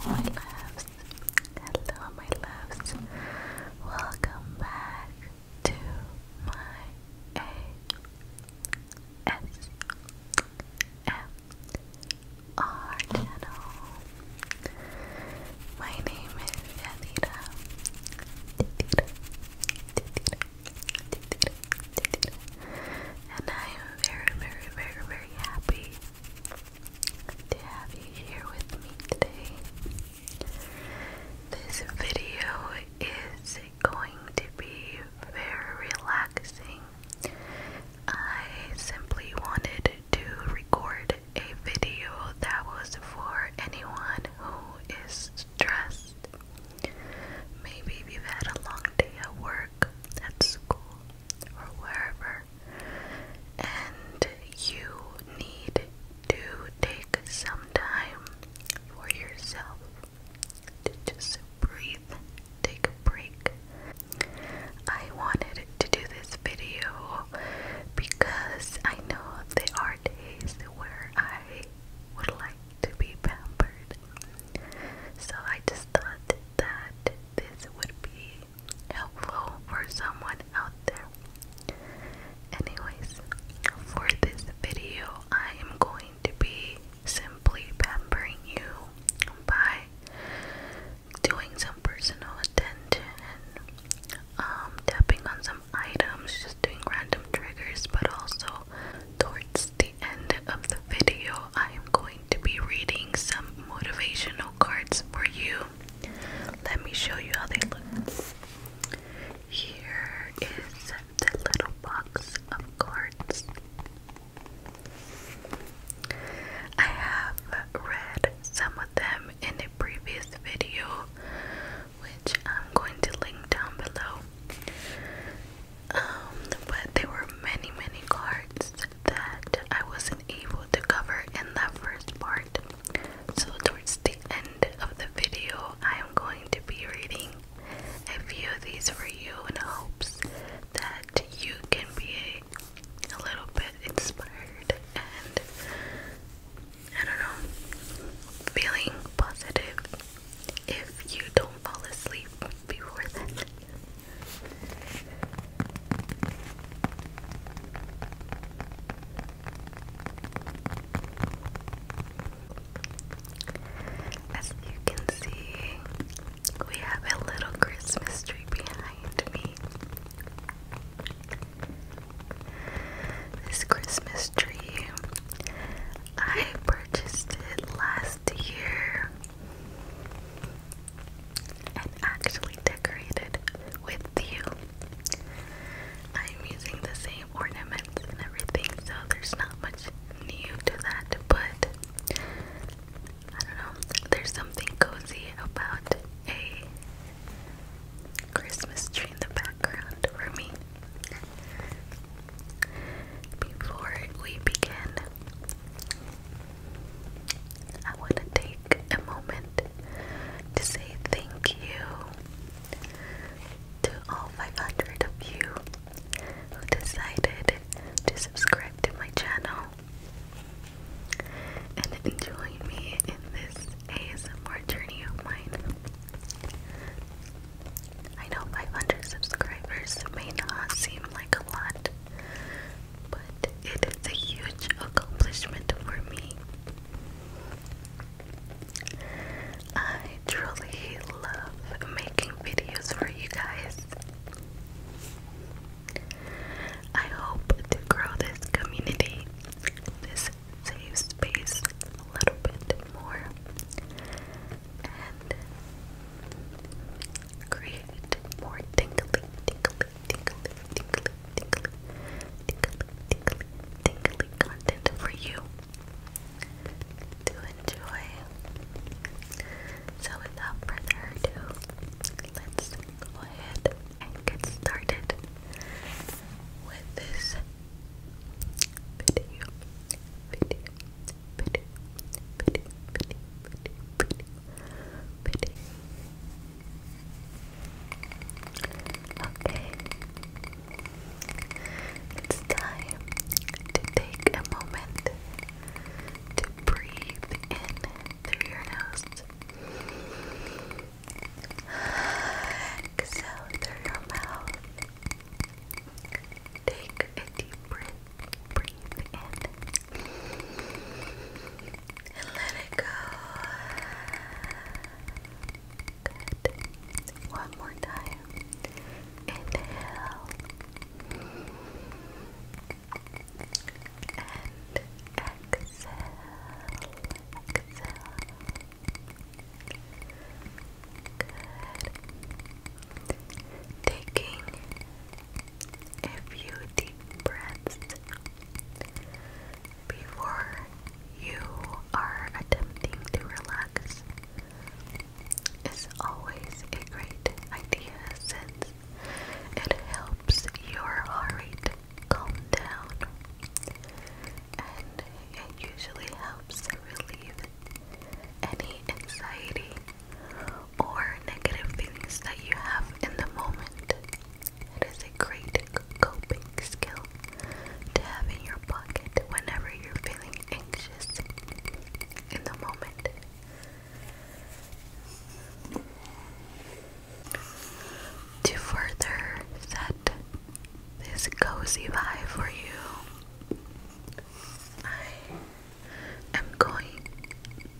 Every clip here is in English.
Hello, my loves. Hello, my loves. Welcome back to my A S M R channel. My name is Yadira. And I am very, very, very, very happy to have you here with me today. This video is going to be very relaxing. I simply wanted to record a video that was for anyone who is stressed. Maybe you've had a long day at work, at school, or wherever, and you need to take some time for yourself to just breathe, take a break. I wanted to do this video because I know there are days where I would like to be pampered. So I just thought that this would be helpful for someone out there. Anyways, for this video, I am going to be simply pampering you by doing some personal attention, um, tapping on some items, just doing random triggers, but also towards the the end of the video, I am going to be reading some motivational cards for you. Let me show you how they look. Here is the little box of cards. I have read some of them in a previous video, which I'm going to link down below. Um, but there were many, many cards that I wasn't able to cover in that first part. So, towards the end of the video, I am going to be reading a few of these for you in hopes that you can be a little bit inspired and I don't know, feeling positive if you don't fall asleep before then. As you can see, we have a little Christmas tree behind me. This Christmas tree, I purchased it last year and actually decorated with you. I'm using the same ornaments and everything, so there's not much new to that, but I don't know, there's something cozy about a Christmas tree in the background for me. Before we begin, I want to take a moment to say thank you to all 500 of you who decided to subscribe to my channel and enjoy me in this ASMR journey of mine. I know 500 subscribers may not seem like a lot, but it is a huge accomplishment for me. I truly love making videos for you guys. I hope to grow this community, this safe space, a little bit more create more tingly, tingly, tingly, tingly, tingly, tingly, tingly, tingly content for you to enjoy. So without further ado, let's go ahead and get started with this Video, video, Pretty, pretty, Okay, it's time to take a moment to breathe in through your nose. Exhale through your mouth. Take a deep breath breathe in and let it go. Good. One more time. Inhale and exhale. Exhale. Good. Taking a few deep breaths before you are attempting to relax is always a great idea since it helps your heart rate calm down and it usually helps relieve any anxiety or negative feelings that you have in the moment. It is a great coping skill to have in your pocket whenever you're feeling anxious in the moment. To further set this cozy vibe for you, I I'm going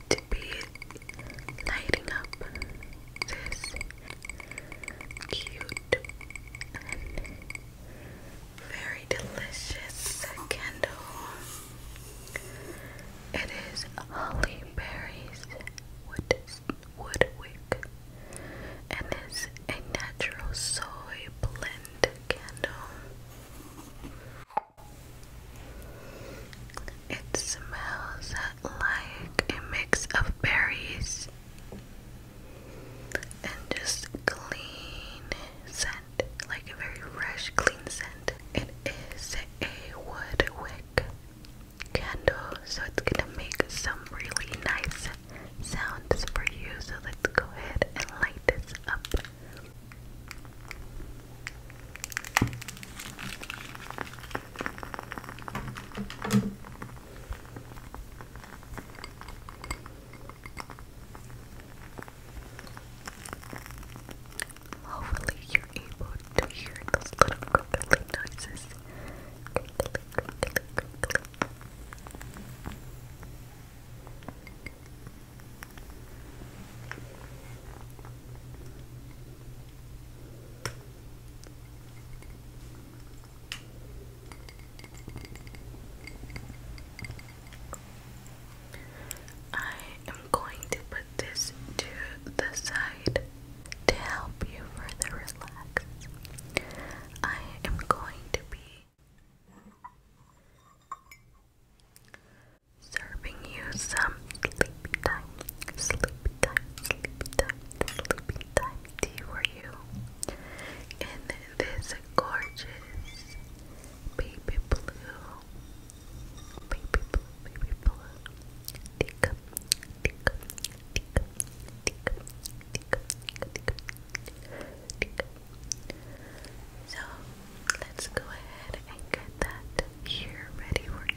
to be lighting up this cute very delicious candle. It is Holly Berries Wood, wood Wick and it's a natural soy blend candle. It smells like a mix of berries and just clean scent, like a very fresh, clean scent. It is a wood wick candle, so it's gonna make some really nice sounds for you. So let's go ahead and light this up. Hopefully, you're able to hear those little crinkly noises. I am going to put this to the side to help you further relax. I am going to be Serving you some sleepy time, sleepy time, sleepy time, sleepy time tea for you in this gorgeous baby blue, baby blue, baby blue, So let's go ahead and get that here ready for you.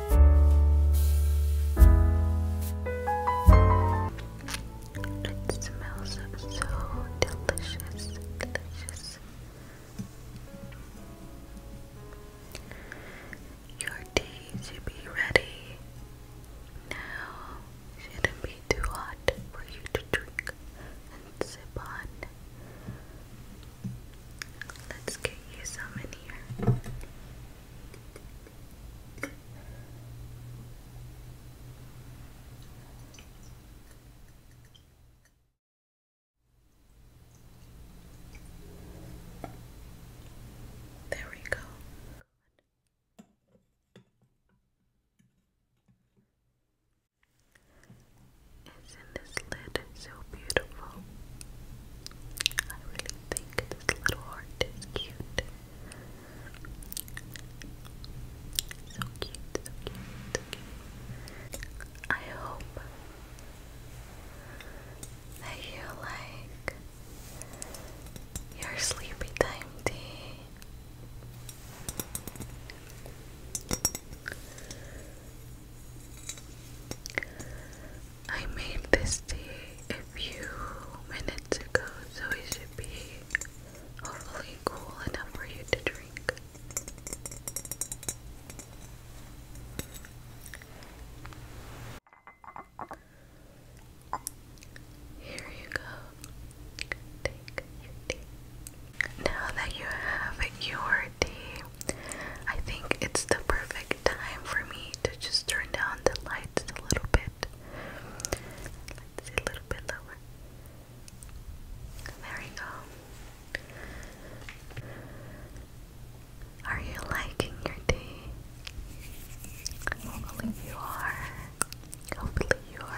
It smells so delicious, delicious. Your tea should be ready now. Shouldn't be too hot for you to drink and sip on. Let's get you some in here. There we go. Isn't this lid so beautiful? I really think this little heart is cute. So cute, so cute, I hope that you like your sleepy time tea. I made this tea a few minutes ago, so it should be hopefully cool enough for you to drink. Here you go. Now that you have your tea, I think it's the perfect like time for me to just turn down the lights a little bit. Let's see a little bit lower. There we go. Are you liking your day? Hopefully you are. Hopefully you are.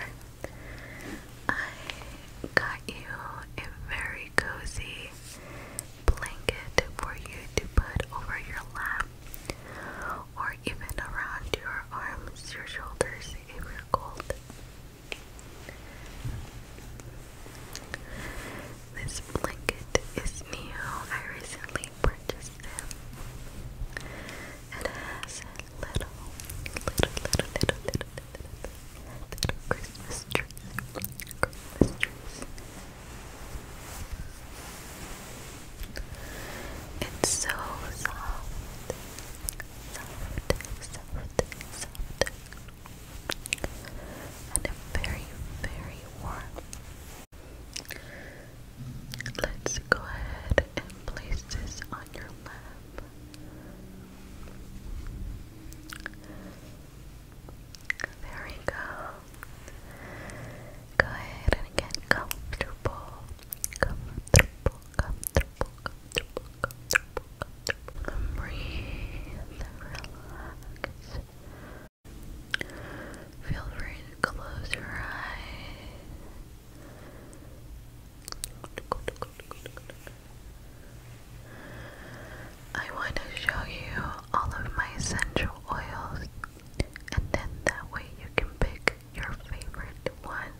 I got you a very cozy blanket for you to put over your lap or even around your arms, your shoulders if you're cold. This blanket is new. I recently purchased it. It has a little, little, little, little, little, little, little, little Christmas trees. Christmas trees. It's so soft, soft, soft, soft, and very, very warm. Let's go ahead and place this on your lap. There we go. Go ahead and get comfortable. Comfortable, comfortable, comfortable, comfortable, comfortable. Breathe, relax. Feel free to close your eyes. I want to show you all of my essential oils and then that way you can pick your favorite one.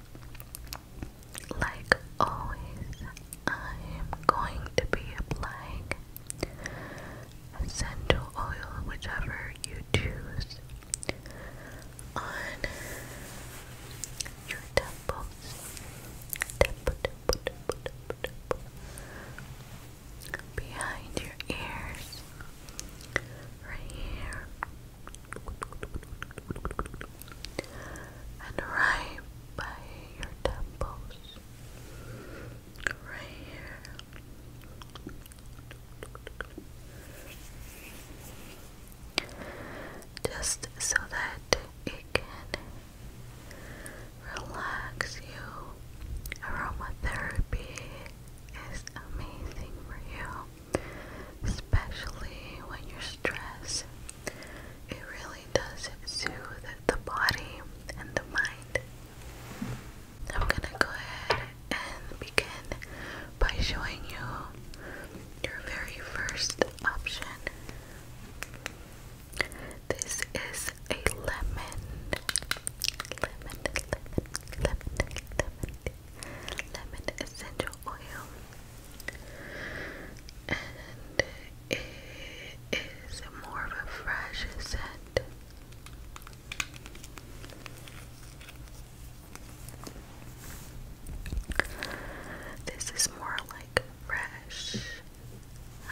Like always, I am going to be applying essential oil, whichever you choose, on your temples behind your ears, right here, and right by your temples, right here. Just so that it can relax you. Aromatherapy is amazing for you, especially when you're stressed. It really does soothe the body and the mind. I'm gonna go ahead and begin by showing you your very first option. This is a lemon, lemon, essential oil, and it is more of a fresh scent. This is more like fresh.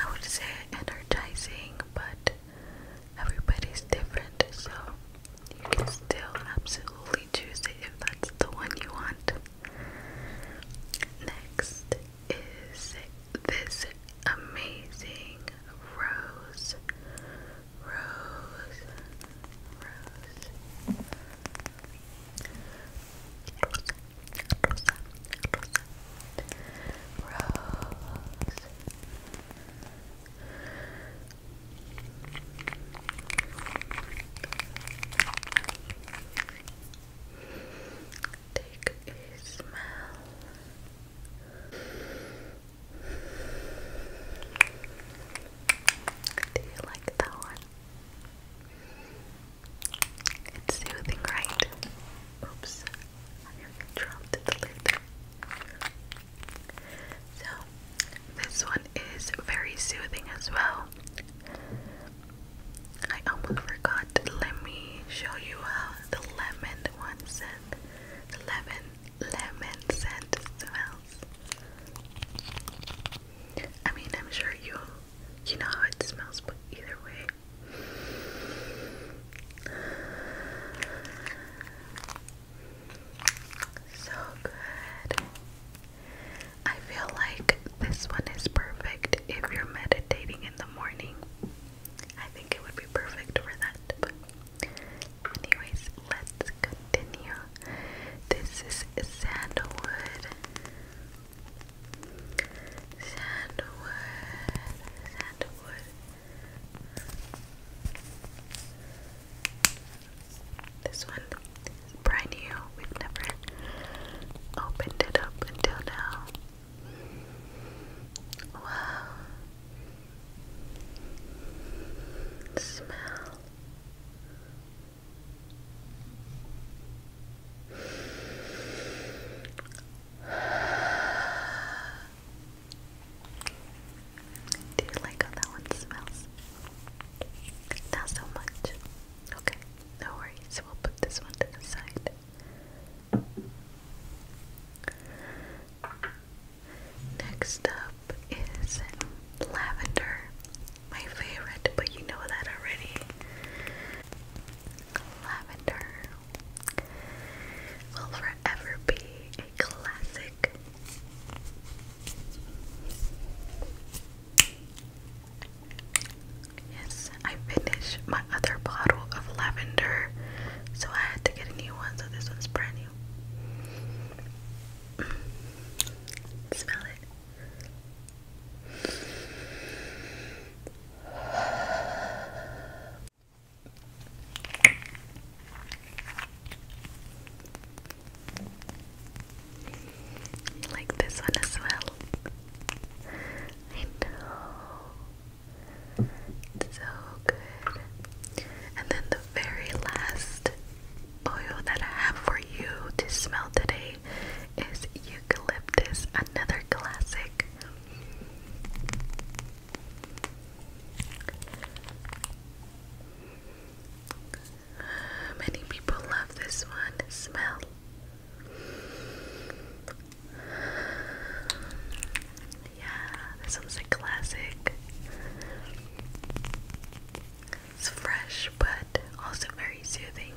I would say energizing, but everybody's different, so you can still absolutely choose it if that's the one you want. Next is this amazing rose. Rose. Rose. Rosa, rosa, Rose. Take a smell. Do you like that one? It's soothing, right? Oops, I dropped the lid. So, this one is very soothing as well. I almost forgot. Let me show you how uh, the lemon one the lemon lemon scent smells. I mean, I'm sure you you know how it smells, but either way. So good. I feel like this one is perfect if you're meditating in the morning. I think it would be perfect for that. anyways, let's continue. This is sandalwood. Sandalwood. Sandalwood. This one brand new. We've never opened it up until now. Wow. Smell. Do you like how that one smells? Not so much. Okay, no worries. We'll put this one to the side. Next up is lavender. My favorite, but you know that already. Lavender will forever be classic. Yes, I finished my other bottle of lavender, so I had to get a new one, so this one's brand new. Mm. Smell it. Like this one as well. I know. so good. And then the very last oil that I have for you to smell today is eucalyptus, another classic. Many people love this one smell. Yeah, this one's a classic. It's fresh but also very soothing.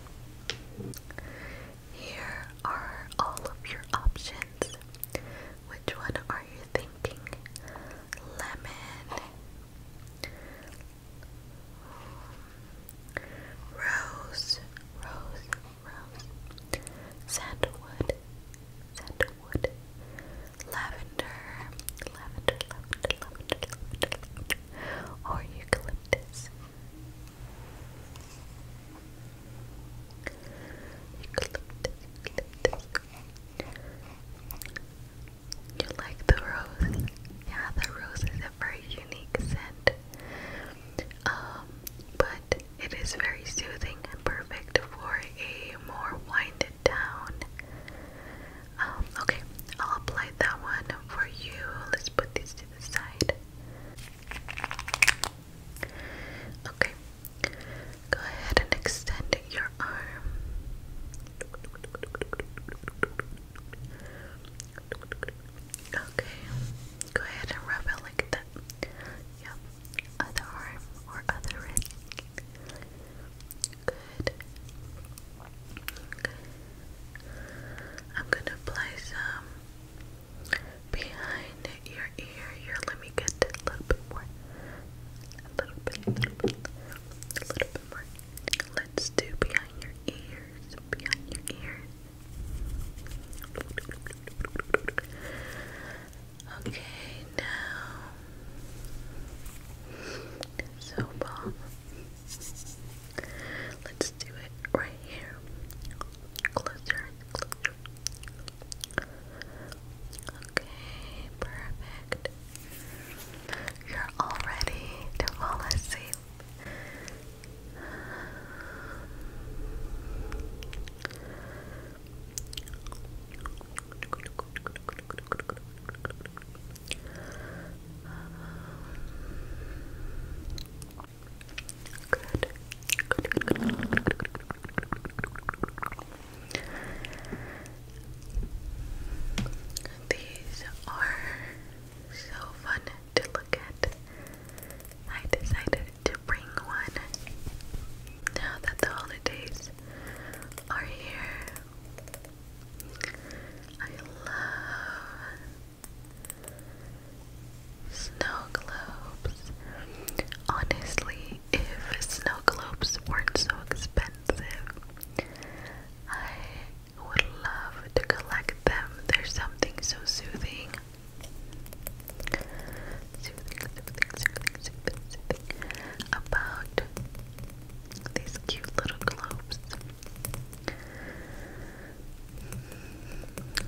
Here are all of your options which one are you thinking? Lemon, rose, rose, rose, sandalwood, sandalwood, lavender, lavender, lavender, lavender, or eucalyptus. Eucalyptus, eucalyptus, you like the rose? Yeah, the rose is a very unique scent. Um, but it is very soothing and perfect for a more winded down. Um, okay, I'll apply that one for you. Let's put these to the side. Okay, Go ahead and extend your arm. Okay, go ahead and rub it like that. Yep, other arm or other wrist. Good. Okay. I'm gonna apply some behind your ear here. Let me get a little bit more. A little bit, a a little bit more. Let's do behind your ears, behind your ears. Okay, now. So bomb. Let's do it right here. Close your Okay, perfect. You're all ready to fall asleep. Good. These are so fun to look at. I decided to bring one now that the holidays are here. I love snow globes. Honestly, if snow globes weren't so expensive. I would love to collect them. There's something so soothing. about these cute little globes.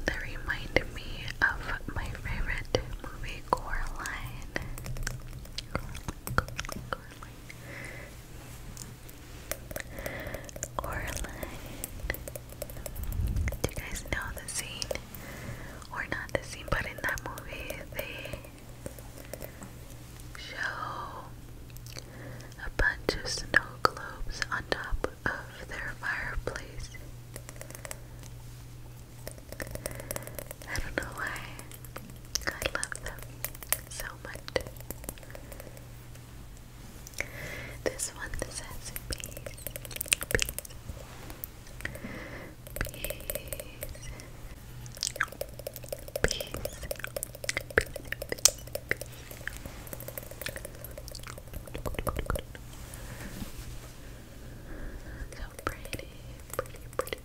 They remind me of my favorite movie, Coraline. Coraline. Do you guys know the scene? Or not the scene, but in that movie they show a bunch of snow globes on top of their fireplace. I don't know why I love them so much. This one says peace, peace, peace, peace, peace. So pretty, pretty, pretty.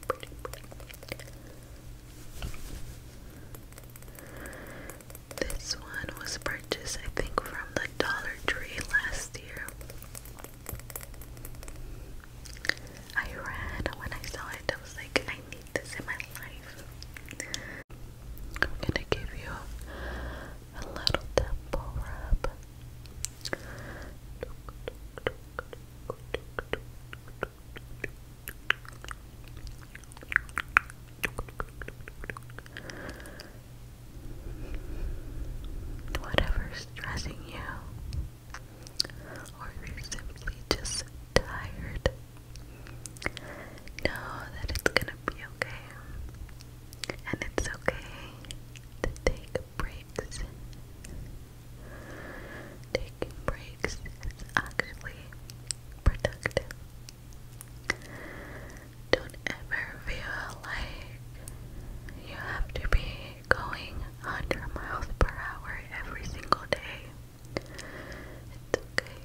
This one was purchased, I think, from the Dollar Tree last year. I read when I saw it, I was like, I need this in my life. I'm gonna give you a little temple rub. Whatever's stressing you, or you're simply just tired, know that it's gonna be okay. And it's okay to take breaks Taking breaks is actually productive. Don't ever feel like you have to be going 100 miles per hour every single day. It's okay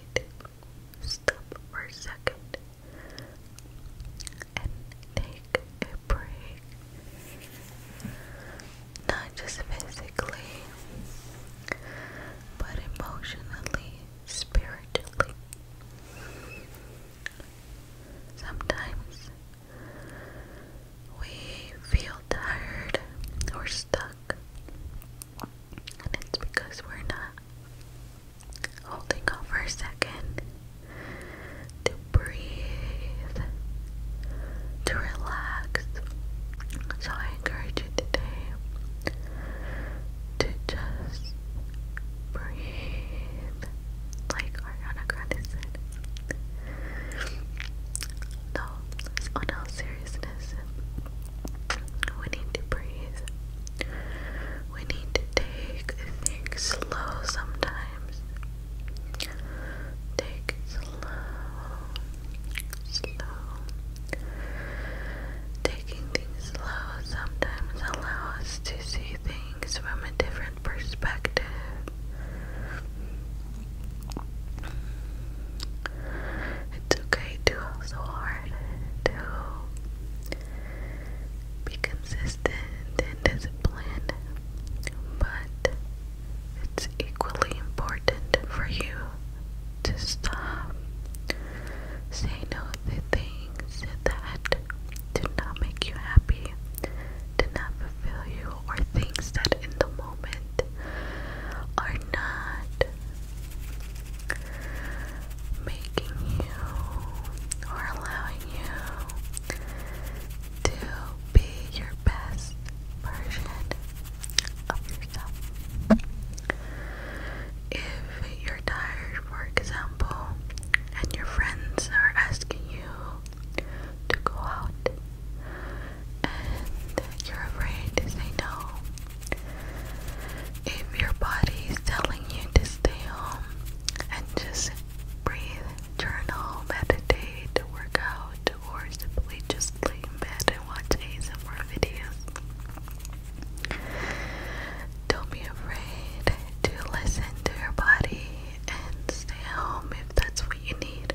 to stop for a second and take a break not just physically, but emotionally, spiritually. Sometimes we feel tired or stuck, and it's because we're not holding on for a second to breathe, to relax. So I encourage you today to just breathe, like Ariana Grande said. No, on all seriousness, we need to breathe. We need to take things slow sometimes. Take it slow, slow. Taking things slow sometimes allow us to see things from a different perspective. It's okay to also hard to be consistent and disciplined, but it's equally important for you to stop. saying no to things that do not make you happy, do not fulfill you, or things that in the moment are not making you or allowing you to be your best version of yourself. If you're tired, for example, and your friends are asking you to go out and you're afraid to say no, if your body is telling you to stay home and just breathe Turn journal, meditate, work out, or simply just lay in bed and watch more videos. Don't be afraid to listen to your body and stay home if that's what you need.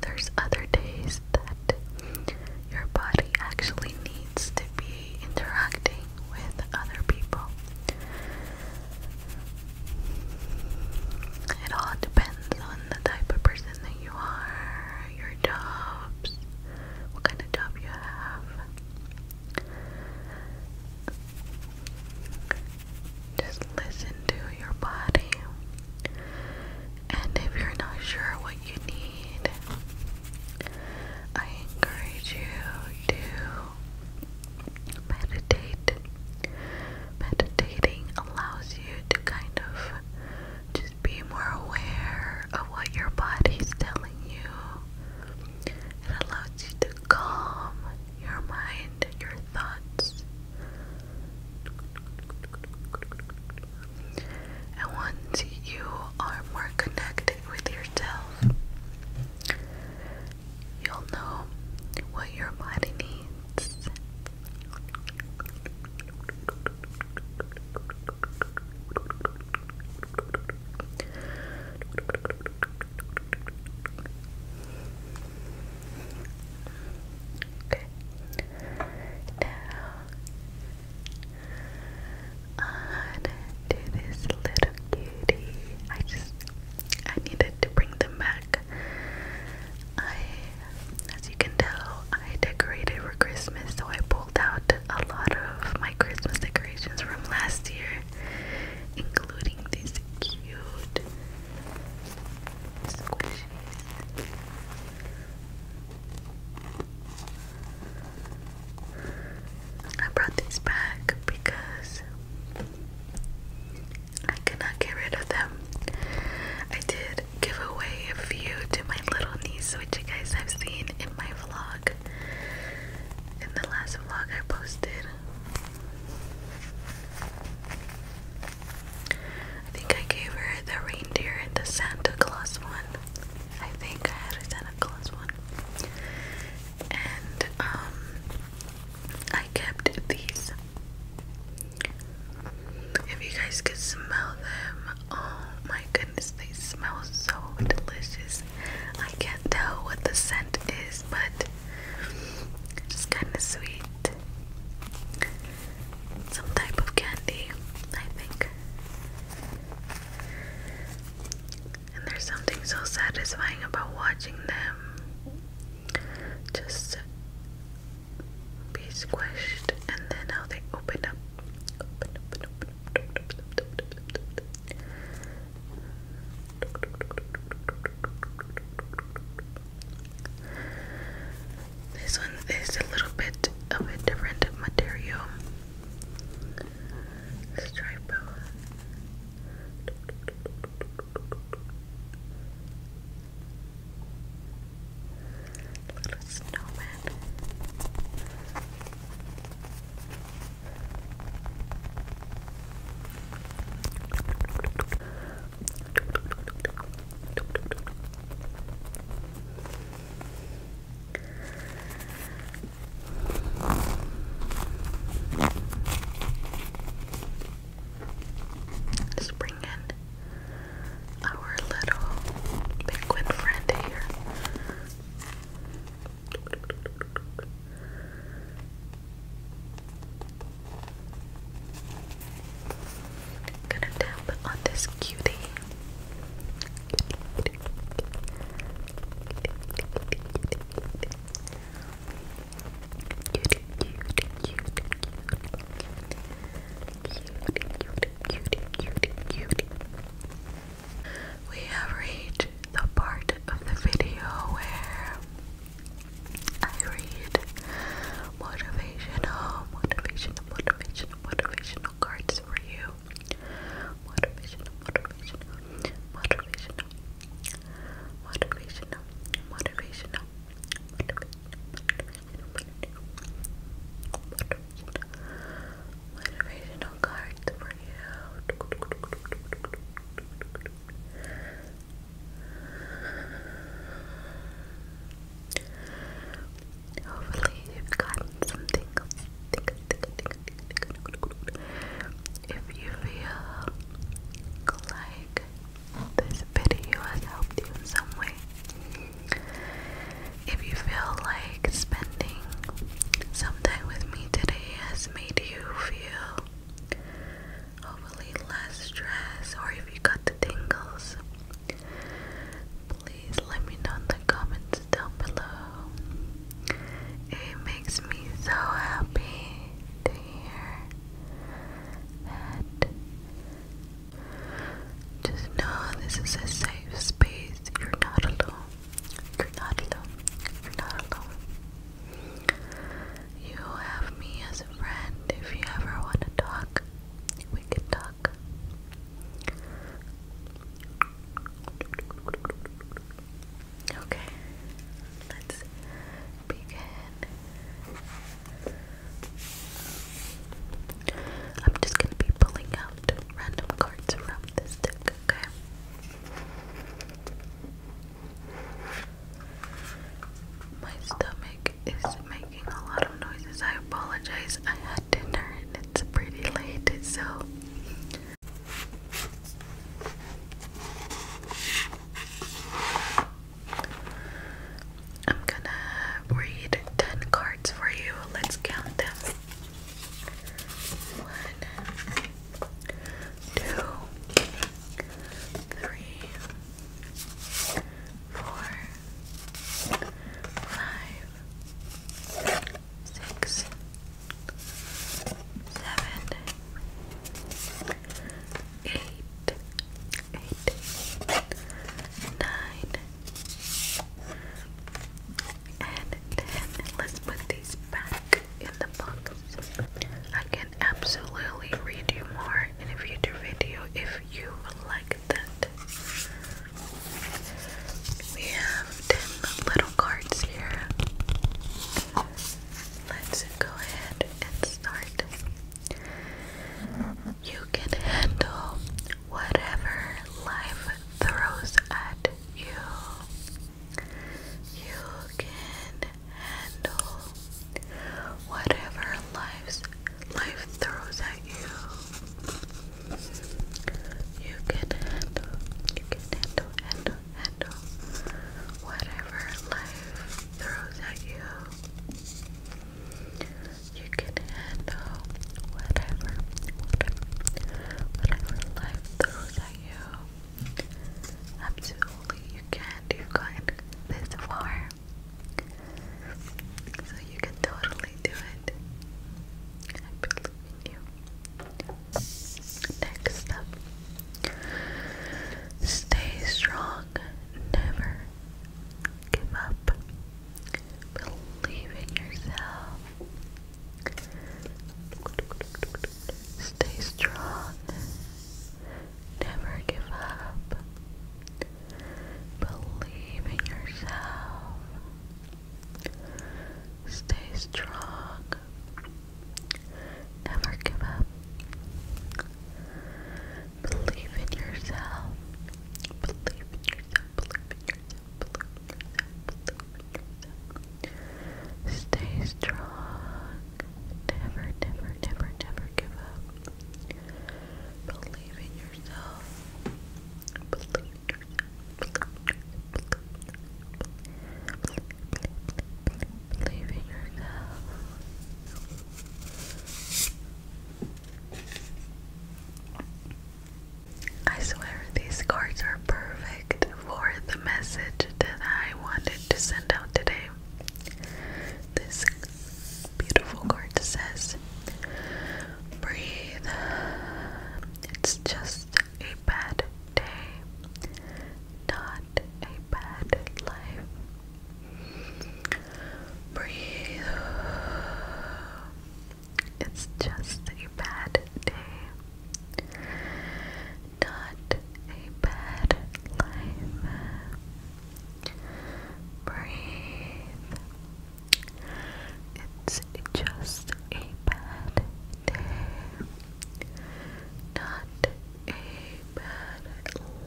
There's other days that your body actually needs to be interacting with other people. It all depends on the type of person that you are, your jobs, what kind of job you have. Just listen to your body. And if you're not sure what you need, I encourage you to meditate. Meditating allows you to kind of just be more aware of what your body is telling you. It allows you to calm your mind, your thoughts. And once you are more connected with yourself, you'll know what your body needs. Okay. Now on to this little cutie. I just I needed to bring them back. I, as you can tell, I decorated for Christmas, so I pulled out a lot of my Christmas decorations from last year, including these cute squishies. I brought these back because I cannot get rid of them. I did give away a few to my little niece, which you guys have seen in my vlog. In the last vlog I posted. I think I gave her the reindeer and the Santa Claus one. I think I had a Santa Claus one. And um I kept these if you guys could smell them, oh my goodness, they smell so delicious. I can't tell what the scent is, but it's just kind of sweet. Some type of candy, I think. And there's something so satisfying about watching them just be squished, and then how they open up. This one is a little bit of a different material. Stripe. Little snowman let bring in our little penguin friend here. I'm gonna tap on this cutie. cutie. We have reached the part of the video where I read motivational, motivational, motivational, motivational cards for you. Motivational, motivational, motivational, motivational, motivational, Motivational cards for you. Hopefully, you've gotten some If you feel like this video has helped you in some way. If you feel like spending some time with me today has made you feel hopefully less stress or if you got the tingles, please let me know in the comments down below. It makes me so happy to hear that just know this is a safe space. You're not alone. You're not alone. You're not alone. You have me as a friend. If you ever want to talk, we can talk. Okay, let's I'm just going to be pulling out random cards from this deck, okay? My stomach is making a lot of noises. I apologize. I had dinner and it's pretty late, so. I'm gonna read 10 cards for you. Let's count them. One, two, three, four, five, six, seven, eight, eight, nine, and ten. Let's put these back in the box. I can absolutely read you more in a future video if you like that. We have ten little cards here. Let's go ahead and start. You can handle whatever life throws at you. You can handle whatever life's life throws at you. You can handle, you can handle, handle, handle whatever life throws at you. You can handle whatever, whatever, life throws at you. Absolutely, you can. You've this far, so you can totally do it. I believe in you. Next up, stay strong never give up. Believe in yourself. Stay strong. Never give up. Believe in yourself. Stay strong. Never give up. Believe in yourself. Believe in yourself. Believe in yourself. Believe in yourself. Stay strong. Never, never, never, never give up. Believe in yourself. Believe in yourself. I swear these cards are perfect for the message that I wanted to send out today. This beautiful card says, Breathe. It's just a bad day, not a bad life. Breathe. It's just a bad day. Not a bad life. Breathe. It's just a bad day. Not a bad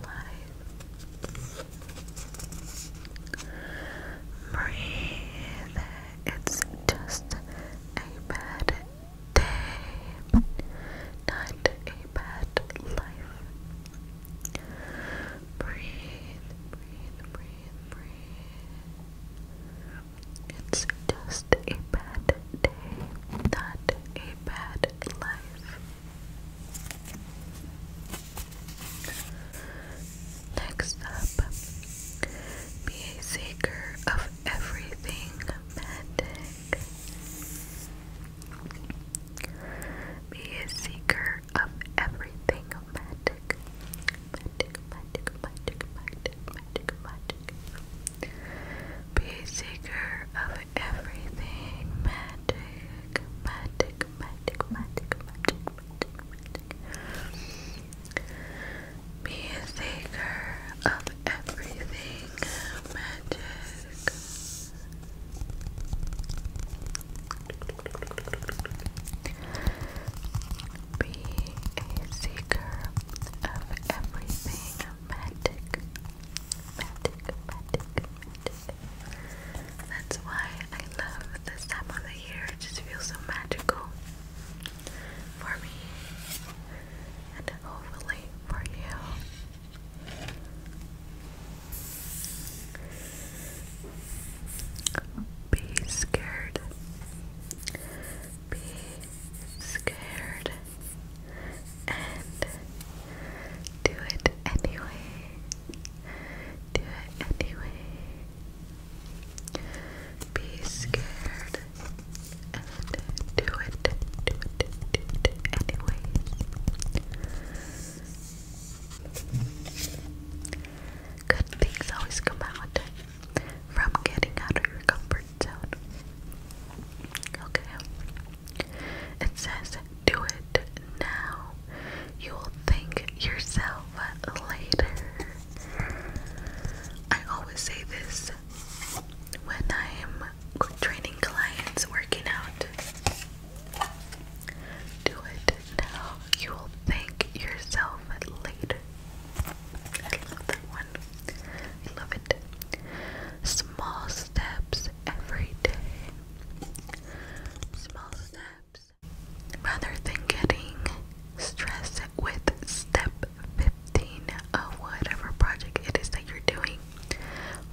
life. Breathe, it's just a bad day, not a bad life. Breathe, breathe, breathe, breathe. It's just a bad day, not a bad life. Next up, be a seeker of everything magic. Be a seeker of everything magic. Magic, magic, magic, magic, magic, magic. Be a seeker of everything magic, magic, magic, magic, magic, magic, magic. Be a seeker of everything magic. Be a seeker of everything magic. Magic, magic, magic, that's why I love this time of the year. It just feels so magical for me and hopefully for you. Be scared. Be scared. And do it anyway. Do it anyway. Be scared and do it. Do it. Do it, do it anyways. Good things always come out from getting out of your comfort zone. Okay. It says, Do it now. You'll thank yourself later. I always say this when I'm training clients working out. Do it now. You'll thank yourself later. I love that one. I love it. Small steps every day. Small steps. Rather than getting stressed with step 15 of whatever project it is that you're doing,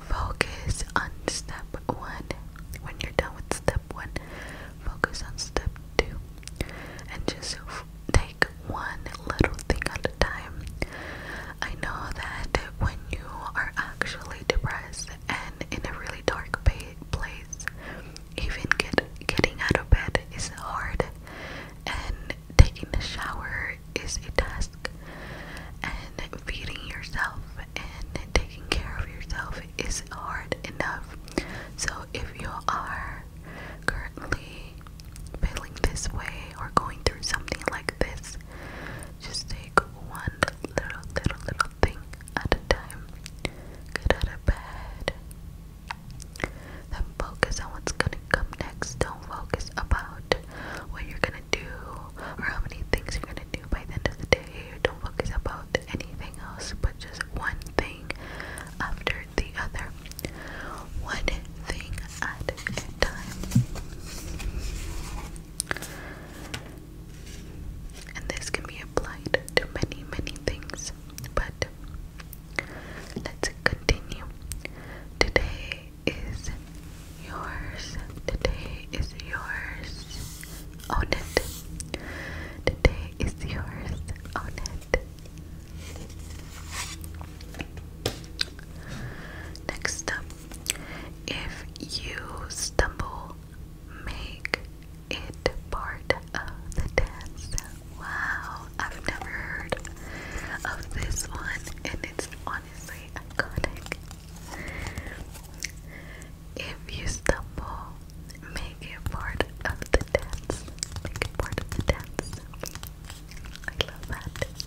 focus on step 1. When you're done with step 1, focus on step 2. And just take one little thing at a time. I know that when you are actually depressed and in a really dark place. Even get, getting out of bed is hard, and taking a shower is a task, and feeding yourself and taking care of yourself is hard enough. So, if you are currently feeling this way or going through something like this, just take one little, little, little little thing at a time. Get out of Then focus on what's gonna come next. Don't focus about what you're gonna do or how many things you're gonna do by the end of the day. Don't focus about anything else but just one thing after the other. One thing at a time. And this can be applied to many, many things. But let's continue. Today is yours. Today is yours. Own it. Today is yours. Own it. Next up, if you stumble make it part of the dance. Wow, I've never heard of this one, and it's honestly iconic. If you stumble, make it part of the dance. Make it part of the dance. I love that.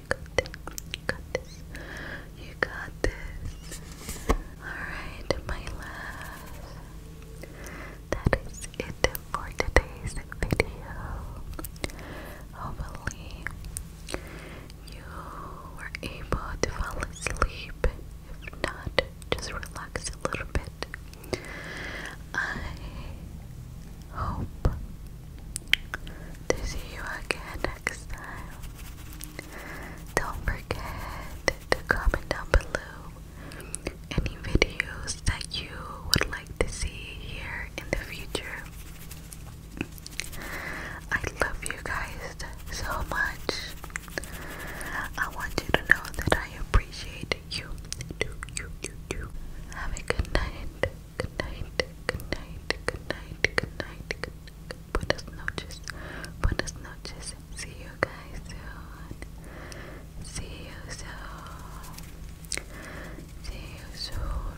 you got this. You got this. You got this. Alright, my love. That is it for today's video. Hopefully, you were able to fall asleep. If not, just relax a little bit. I hope to see you again next time. Don't forget to comment down below any videos that you would like to see here in the future. I love you guys so much. I want you to know that I appreciate you. You, you, you, you. Have a good night. Good night, good night, good night, good night, good night. Buenas noches, buenas noches. See you guys soon. See you soon. See you soon.